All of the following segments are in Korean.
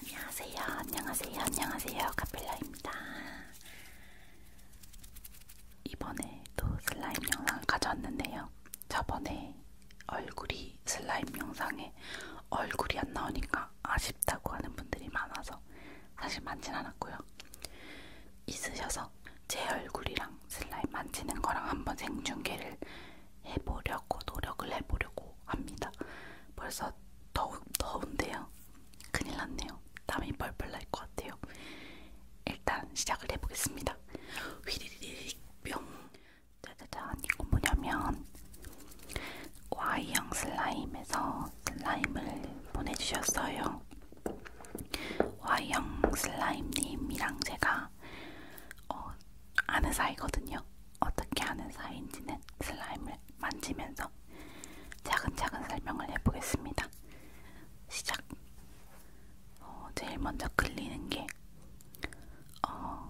안녕하세요. 안녕하세요. 안녕하세요. 카필라입니다. 이번에 또 슬라임 영상을 가져왔는데요. 저번에 얼굴이 슬라임 영상에 얼굴이 안 나오니까 아쉽다고 하는 분들이 많아서 사실 많진 않았고요. 있으셔서 제 얼굴이랑 슬라임 만지는 거랑 한번 생중계를 해보려고 노력을 해보려고 합니다. 벌써 더운, 더운데요. 큰일 났네요. 땀이 뻘뻘 날것 같아요. 일단 시작을 해보겠습니다. 휘리릭 뿅. 짜자잔 이거 뭐냐면 Y형 슬라임에서 슬라임을 보내주셨어요. Y형 슬라임님이랑 제가 어, 아는 사이거든요. 어떻게 하는 사이인지는 슬라임을 만지면서 차근차근 설명을 해보겠습니다. 시작! 어, 제일 먼저 끌리는 게 어,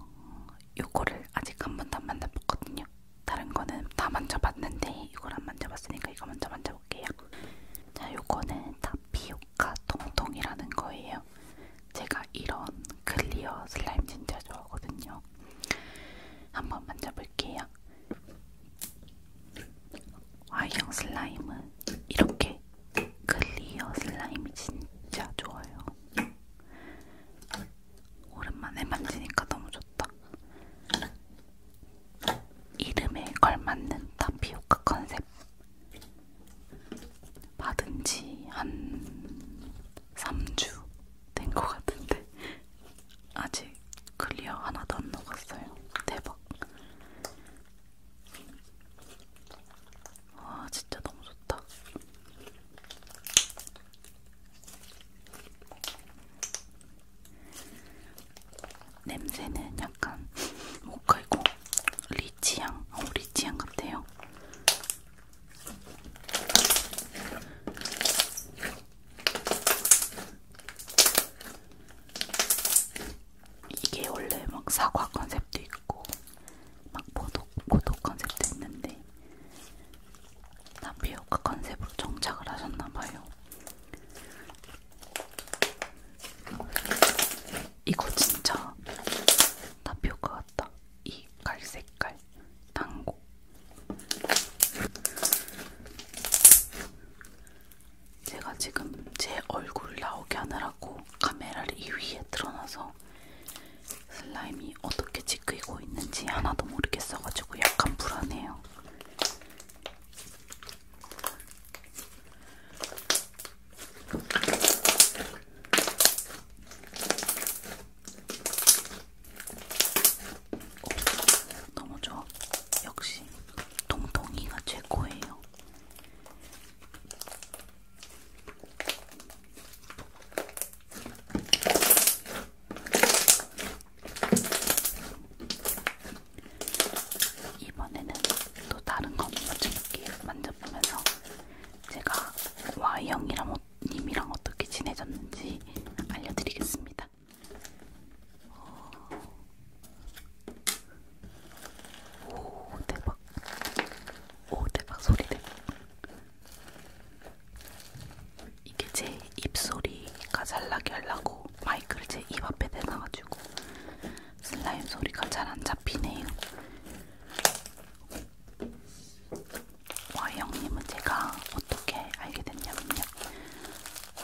요거를 아직 한 번도 안 만져봤거든요. 다른 거는 다 만져봤는데 이걸 안 만져봤으니까 이거 먼저 만져볼게요. 자, 요거는 타피오카 통통이라는 거예요. 제가 이런 클리어 슬라임 진짜 좋아하거든요. 한번 만져볼게요. 와이형 슬라임은 이렇게 클리어 슬라임이 진짜 좋아요. 오랜만에 만지니까 너무 좋다. 이름에 걸맞는 타피오카 컨셉. 받은 지한 3주 된 것 같은데 아직 클리어 하나도 안 녹았어요. 대박. 와 진짜 너무 좋다. 냄새는 약간 모카이고 리치향, 어, 리치향 같아요. 이게 원래 막 사과 컨셉도 있고 막 보도, 보도 컨셉도 있는데 나비효과 컨셉으로 정착을 하셨나봐요. 이거 진짜 나비효과 같다. 이 갈색깔 당고 제가 지금 제 얼굴 나오게 하느라고 카메라를 이 위에 틀어놔서 슬라임이 어떻게 지그이고 있는지 하나도 모르겠어가지고 약간 불안해요. 오, 너무 좋아. 역시 동동이가 최고예요. 이번에는 또 다른 건 만져볼게요. 만져보면서 제가 Y형이라 못 님이랑 어떻게 지내졌는지 알려드리겠습니다. 오 대박, 오 대박 소리 대박. 이게 제 입소리가 잘 나게 하려고 마이크를 제 입 앞에 대놔가지고 슬라임 소리가 잘 안 잡히네요. 와이 형님은 제가 어떻게 알게 됐냐면요.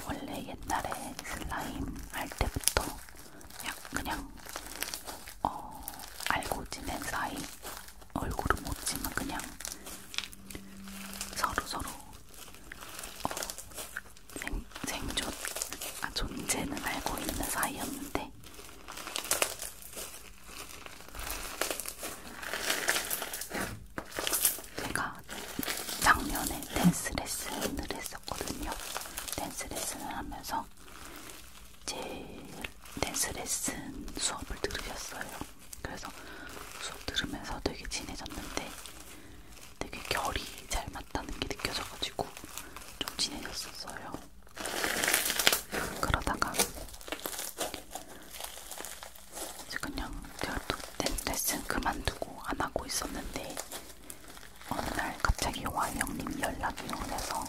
원래 옛날에 슬라임 할 때부터 그냥, 그냥 어, 알고 지낸 사이 얼굴은 못 지만 그냥 서로서로 어, 생, 생존, 아, 존재는 알고 있는 사이였는데 제가 작년에 댄스 레슨을 했었거든요. 댄스 레슨을 하면서 제 댄스 레슨 수업을 들으셨어요. 그래서 수업 들으면서 되게 친해졌는데 되게 결이 잘 맞다는 게 느껴져가지고 좀 친해졌었어요. 그러다가 이제 그냥 제가 또 레슨 그만두고 안 하고 있었는데 어느 날 갑자기 요한 형님 연락이 오면서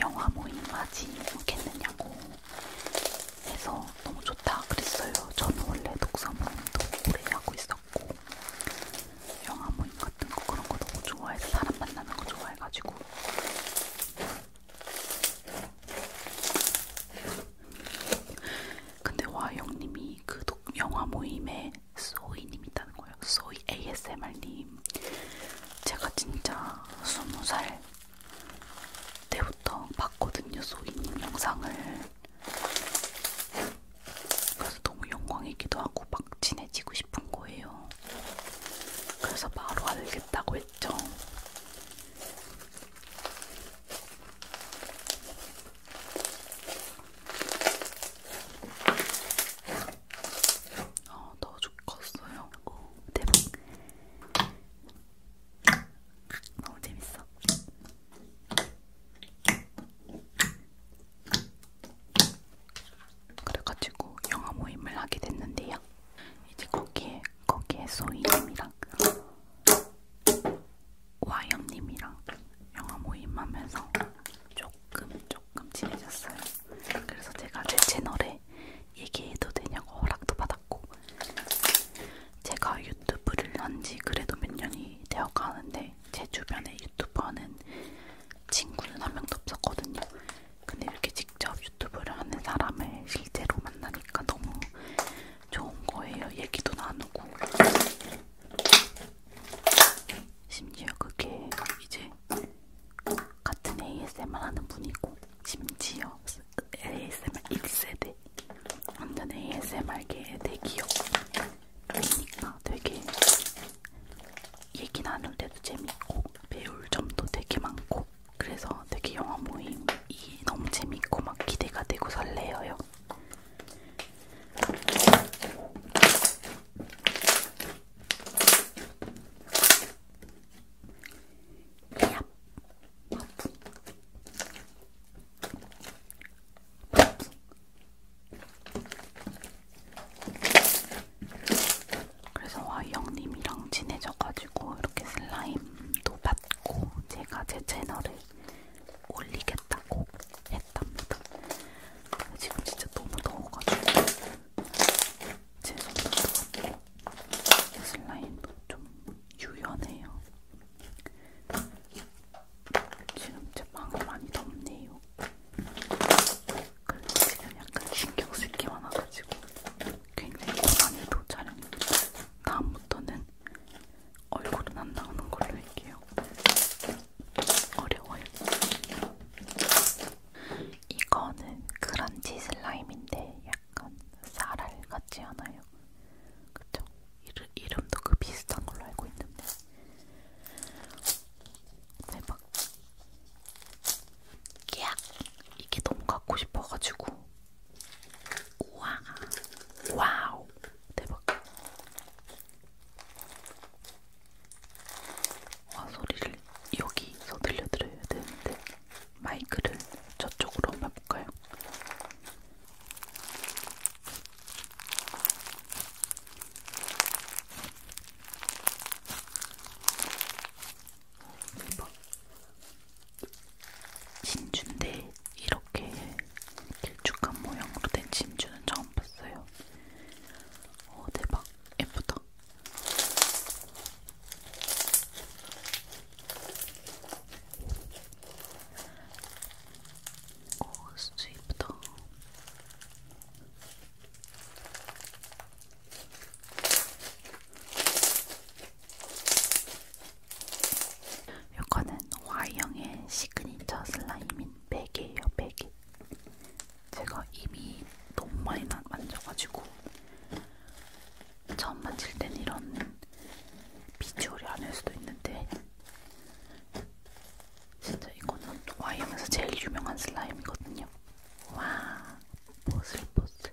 영화 모임 하지 못겠느냐고 해서 너무 좋다 그랬어요. 저는 원래 독서 모임도 오래 하고 있었고 영화 모임 같은 거 그런 거 너무 좋아해서 사람 만나는 거 좋아해가지고 근데 와영님이 그 독, 영화 모임에 소이님 있다는 거예요. 소이 ASMR님. 제가 진짜 스무 살 때부터 봤거든요. 소이님 영상을. 그래서 너무 영광이기도 하고 막 친해지고 싶은 거예요. 그래서 바로 알겠다고 설정 아, 더 죽었어요. 오, 네. 대박. 너무 재밌어. 그래가지고 영화 모임을 하게 됐는데요. 이제 거기에 거기에 소희님이랑 와영님이랑 영화 모임하면서 조금 조금 친해졌어요. 그래서 제가 제 채널에 얘기해도 되냐고 허락도 받았고 제가 유튜브를 한지 그래도 몇 년이 되어가는데 제 주변에 유튜버는 친구는 한 명도 없었거든요. 근데 이렇게 직접 유튜브를 하는 사람을 실제로 만나니까 너무 좋은 거예요. 얘기도 나누고 심지어 그게 이제 같은 ASMR 하는 분이고 심지어 ASMR 1세대 완전 ASMR계의 대기업이니까 되게 얘기 나눌 때도 재밌고 배울 점도 되게 많고 그래서 되게 영화 모임이 너무 재밌고 막 기대가 되고 설레어요. 야, 바쁜, 바쁜. 그래서 와영님이랑 친해져가지고 이렇게 슬라임도 받고 제가 제 채널을 올리겠다고 했답니다. 지금 진짜 너무 더워가지고 제 손도 더웠고 슬라임도 좀 유연해요. 지금 제 방이 많이 덥네요. 근데 지금 약간 신경 쓸게 많아가지고 굉장히 고난이도 촬영입니다. 다음부터는 얼굴은 안 나오는 걸로 할게요. 어려워요. 이거는 그런지 슬라임인데 약간 쌀알 같지 않아요? 그쵸? 이름, 이름도 그 비슷한 걸로 알고 있는데 대박 야 이게 너무 갖고 싶어가지고 우와 와우 대박 와 소리를 여기서 들려드려야 되는데 마이크를 저쪽으로 한번 볼까요? 진주인데 이렇게 길쭉한 모양으로 된 진주는 처음 봤어요. 어 대박 예쁘다. 어 진짜 예쁘다. 요거는 Y형의 시그니처 슬라임인 베개예요, 베개. 제가 이미 너무 많이 만져가지고 처음 만질 땐 이런 비주얼이 아닐 수도 있는데 진짜 이거는 Y형에서 제일 유명한 슬라임이거든요. 와, 보슬보슬.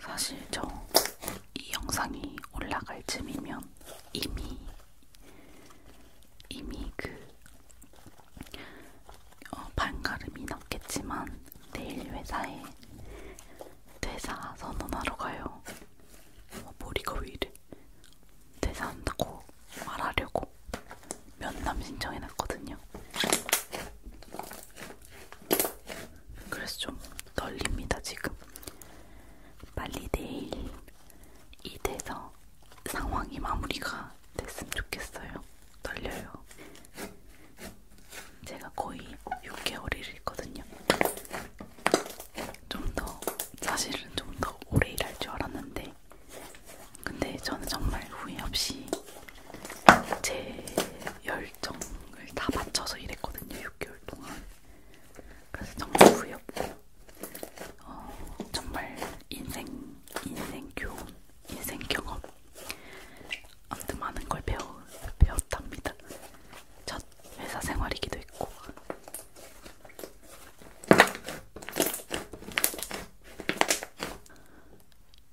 사실 저 이 영상이 올라갈 쯤이면 이미 이미 그 어, 반가름이 났겠지만 내일 회사에 퇴사 선언하러 가요. 어, 머리가 왜 이래? 퇴사한다고 말하려고 면담 신청해놨거든요. 그래서 좀 떨립니다 지금. 빨리 내일 이 돼서 상황이 마무리가 됐으면 좋겠어요. 떨려요. 제가 거의 6개월을 있거든요. 좀 더 사실은 좀 더 오래 일할 줄 알았는데, 근데 저는 정말 후회 없이 제 열정을 다 바쳐서 일했거든요. 6개월 동안. 그래서 정말 후회 없고, 어, 정말 인생 인생 교훈, 인생 경험. 아무튼 많은 걸 배우, 배웠답니다. 첫 회사 생활이기도 했고.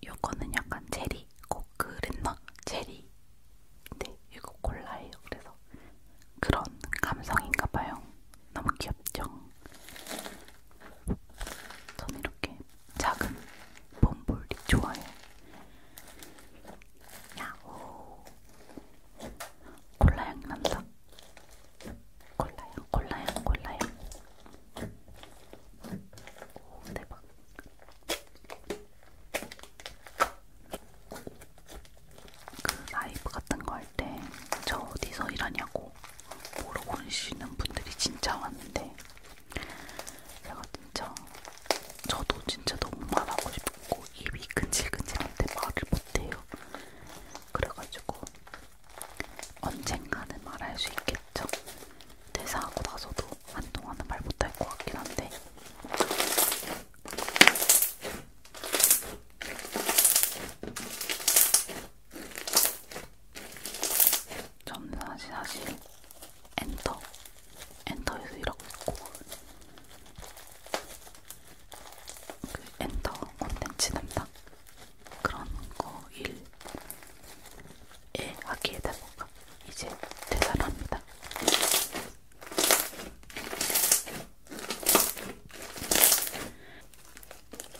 요거는 약간 체리, 꼭 그랬나? 체리. 근데 네, 이거 콜라예요. 그래서 그런 감성인가봐요. 너무 귀엽죠? 전 이렇게 작은 범블리 좋아해. 야호. 콜라향 난다. 콜라향, 콜라향, 콜라향. 오, 대박. 그 라이브 같은 거 할 때저 어디서 일하냐고 물어보시는 분들이 진짜 많은데 제가 진짜 저도 진짜 너무 말하고 싶고 입이 근질근질한데 말을 못해요. 그래가지고 언젠가는 말할 수 있겠죠. 대사하고 나서도 한동안은 말 못할 것 같긴 한데. 저는 사실 사실 엔터 엔터에서 일하고 있고 그 엔터 콘텐츠 담당 그런 거 일에 하기에 대보가 이제 대사를 합니다.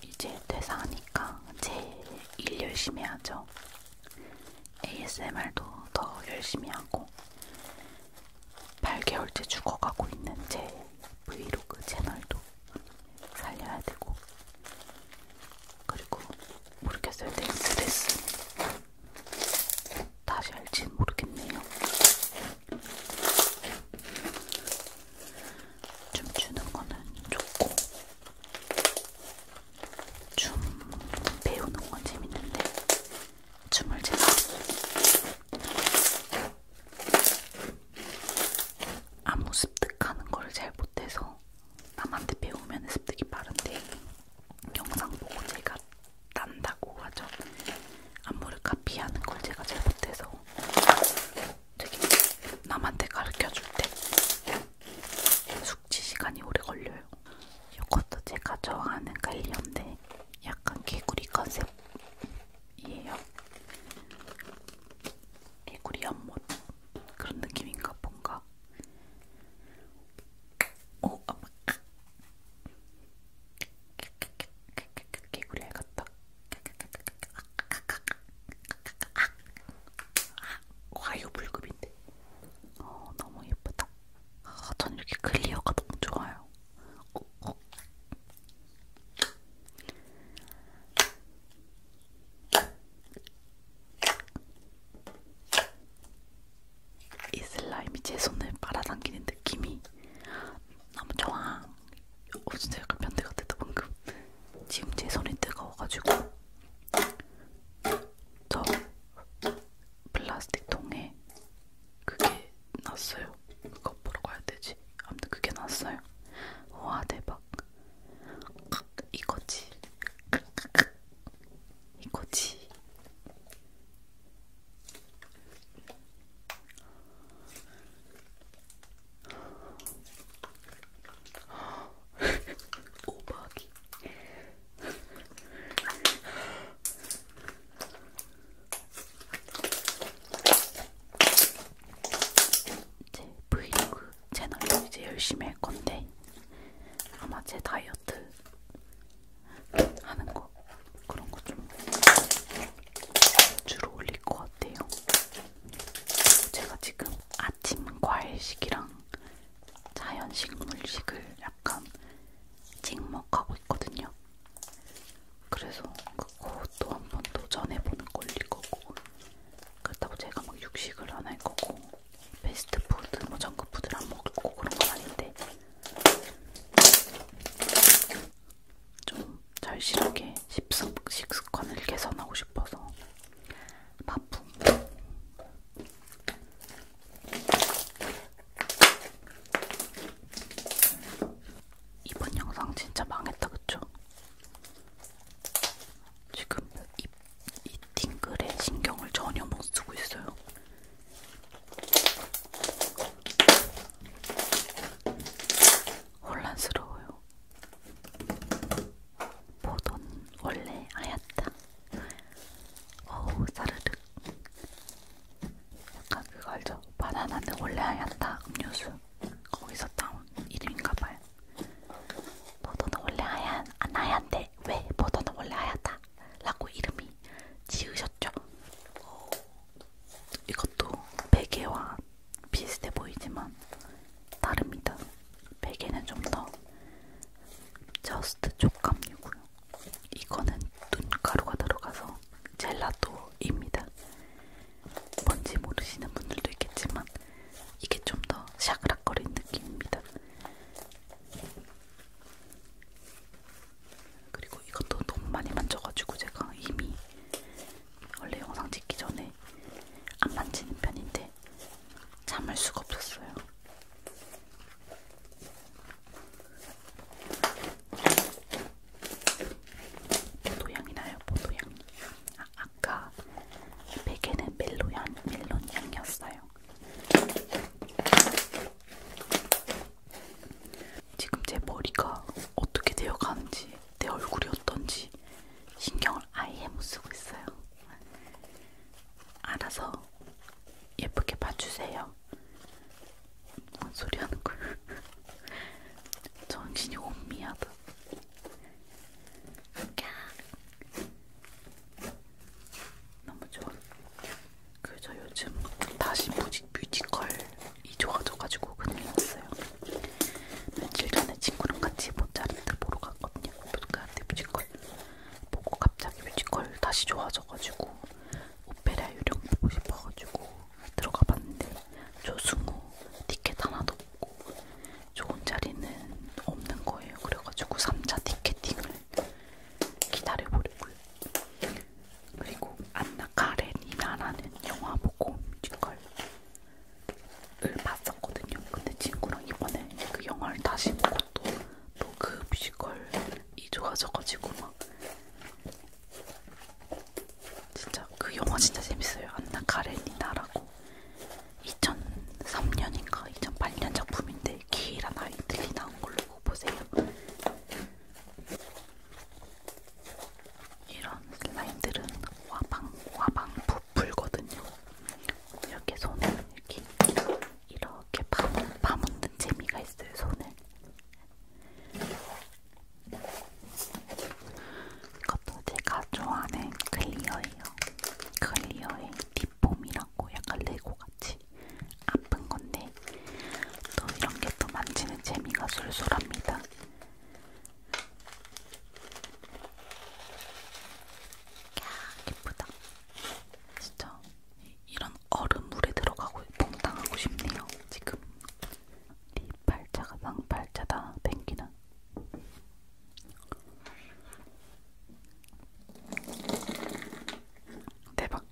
이제 퇴사하니까 제일 일 열심히 하죠. ASMR도 더 열심히 하고 8개월째 죽어가고 있는 제 브이로그 채널도 살려야 되고 그리고 모르겠어요. 댄스 레슨 다시 할진 모르겠네요. 춤추는 거는 좋고 춤 배우는 건 재밌는데 춤을 제가 안무 습득하는 걸잘 못해서 남한테 배우면 습득이 빠른데 영상 보고 제가 딴다고 하죠. 안무를 카피하는 걸 제가 잘 못해서 되게 남한테 가르쳐줄 때 숙취 시간이 오래 걸려요. 이것도 제가 좋아하는 갈리언데 약간 개구리 컨셉이에요. 개구리 연못 그런 느낌인가 뭔가. 오, 어, 아마 개구리 같다. 과유불급인데. 어, 너무 예쁘다. 아, 전 이렇게 클리어가 너무 좋아요. 어, 어. 이 슬라임이 제 손을 빨아당기는 느낌이 너무 좋아. 어, 진짜 약간 변태 같았다 방금. 지금 제 손이 뜨거워가지고 저 플라스틱 통에 그게 났어요. 그거 뭐라고 해야 되지? 아무튼 그게 났어요. 와 대박. 이거지. 이거지. 오박이 제 브이로그 채널도 이제 열심히 할 건데 아마 제 다이어트 하는 거 그런 거 좀 주로 올릴 것 같아요. 제가 지금 아침 과일식이랑 자연식물식을 약간 찍먹하고 있거든요. 그래서 그것도 한번 도전해보는 걸릴 거고 그렇다고 제가 막 육식을 안 할 거고 베스트푸드, 뭐 정크푸드를 안 먹을 거고 그런 건 아닌데 좀 절실하게 식습, 식습관을 개선하고 싶어서 바쁨 이번 영상 진짜 망했다 그쵸? 지금 이, 이 팅글에 신경을 전혀 못 쓰고 있어요. 혼란스러워요. 보던 원래 아였다. 어우 사르륵 약간 그거 알죠? 바나나는 원래 하얗다 음료수 거기서 따온 이름인가봐요 보도는 원래 하얀 안 하얀데 왜 보도는 원래 하얗다 라고 이름이 지으셨죠? 오, 이것도 베개와 비슷해 보이지만 다릅니다. 베개는 좀 더 저스트 촉감이고요. 이거는 눈가루가 들어가서 젤라또입니다. 뭔지 모르시는 분들도 있겠지만 이게 좀 더 샤그락거리는 느낌입니다. 그리고 이것도 너무 많이 만져가지고 제가 이미 원래 영상 찍기 전에 안 만지는 편인데 참을 수가 없었어요. 포도향이 나요. 포도향. 아, 아까 베개는 멜로향, 멜론향이었어요. 지금 제 머리가 어떻게 되어가는지, 내 얼굴이 어떤지 신경을 아예 못 쓰고 있어요. 알아서 예쁘게 봐주세요. 뭔 소리 하는 거야? 정신이 혼미하다. 너무 좋아. 그 저 요즘 다시 뮤직, 뮤지컬이 좋아져가지고 그냥 왔어요. 며칠 전에 친구랑 같이 모차르트 보러 갔거든요. 모차르트 뮤지컬. 보고 갑자기 뮤지컬 다시 좋아져가지고 오페라 유령 보고 싶어가지고 들어가 봤는데 조승우 티켓 하나도 없고 좋은 자리는 없는 거예요. 그래가지고 3차 티켓팅을 기다려보려고요. 그리고 안나 카렌이나라는 영화 보고 뮤지컬을 봤었거든요. 근데 친구랑 이번에 그 영화를 다시 보고 또 로그 뮤지컬이 좋아져가지고 막 진짜 그 영화 진짜 재밌어요. 안나 카레니나라고 2003년인가 2008년 작품인데 키이란 아이들이 나온 걸로 보세요. 이런 슬라임들은 와방 와방 부풀거든요. 이렇게 손을 이렇게 이렇게 파묻는 재미가 있어요, 손을. 이것도 제가 좋아하는 클리어예요. 클리어의 딥폼이라고 약간 레고같이 아픈 건데 또 이런 게또 만지는 재미가 쏠쏠합니다. 야, 예쁘다. 진짜 이런 얼음물에 들어가고 봉탕하고 싶네요. 지금 네 발자가 쌍발자다 댕기는 대박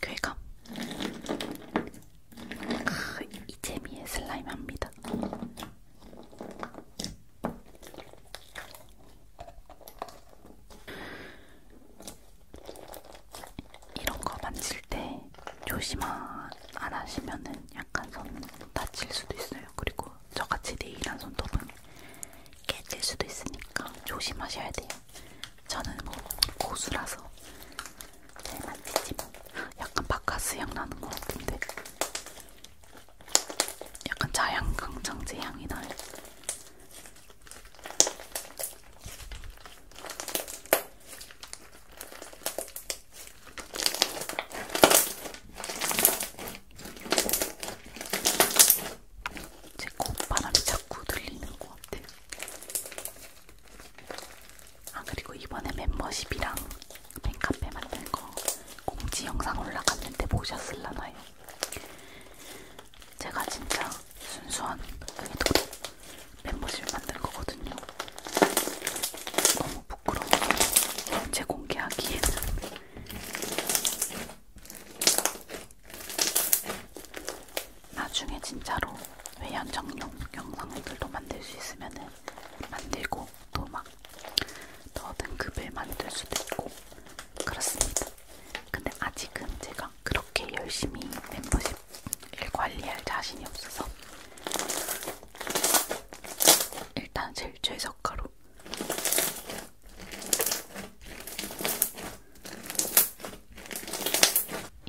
쾌감 크, 이 재미에 슬라임 합니다. 이런 거 만질 때 조심 안 하시면은 약간 손 다칠 수도 있어요. 그리고 저같이 네일한 손톱은 깨질 수도 있으니까 조심하셔야 돼요. 저는 뭐 고수라서 잘 만지지만 약간 바카스향 나는 것 같은데 약간 자양강장제 향이 나요. 제 콧바람이 자꾸 들리는 것 같아요. 아 그리고 이번에 멤버십이랑 팬카페 만든 거 공지 영상 올라갔는데 보셨을라나요? 제가 진짜 순수한 그게 멤버십 만든 거거든요. 너무 부끄러워. 제 공개하기에는. 나중에 진짜로 외연 정용 영상들도 만들 수 있으면은 만들고 또막 더 등급을 만들 수도 있고 그렇습니다. 근데 아직은 제가 그렇게 열심히 멤버십을 관리할 자신이 없어서 일단 제일 최저가로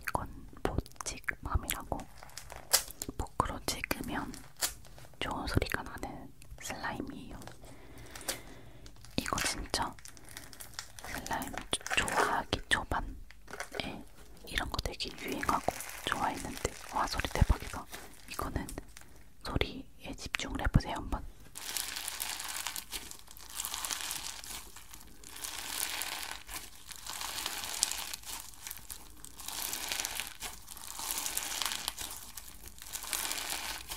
이건 보직맘이라고 포크로 찍으면 좋은 소리가 나는 슬라임이에요. 이거 진짜 슬라임 좋아하기 초반에 이런 거 되게 유행하고 좋아했는데 와 소리 대박이다. 이거는 소리에 집중을 해보세요 한번.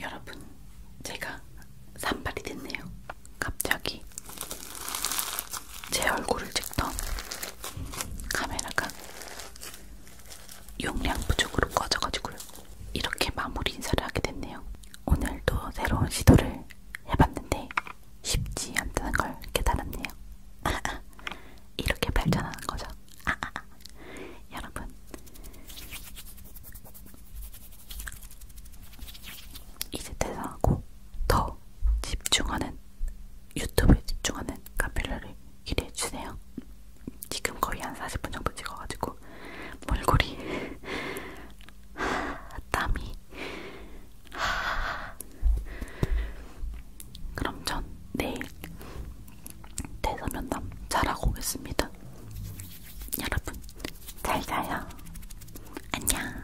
여러분, 제가 산발이 됐네요. 갑자기 제 얼굴을 찍던 카메라가 용량 부족으로 꺼져가지고요. 이렇게 마무리 인사를 하게 됐네요. 오늘도 새로운 시도를 해봤는데 쉽지 않다는 걸 깨달았네요. 이렇게 발전하는 거죠. 여러분, 이제 퇴사하고 더더 집중하는 유튜브에 집중하는 카필러를 기대해주세요. 지금 거의 한 40분 정도 찍어가지고 몰골이 땀이 그럼 전 내일 대사면담 잘하고 오겠습니다. 여러분 잘 자요. 안녕.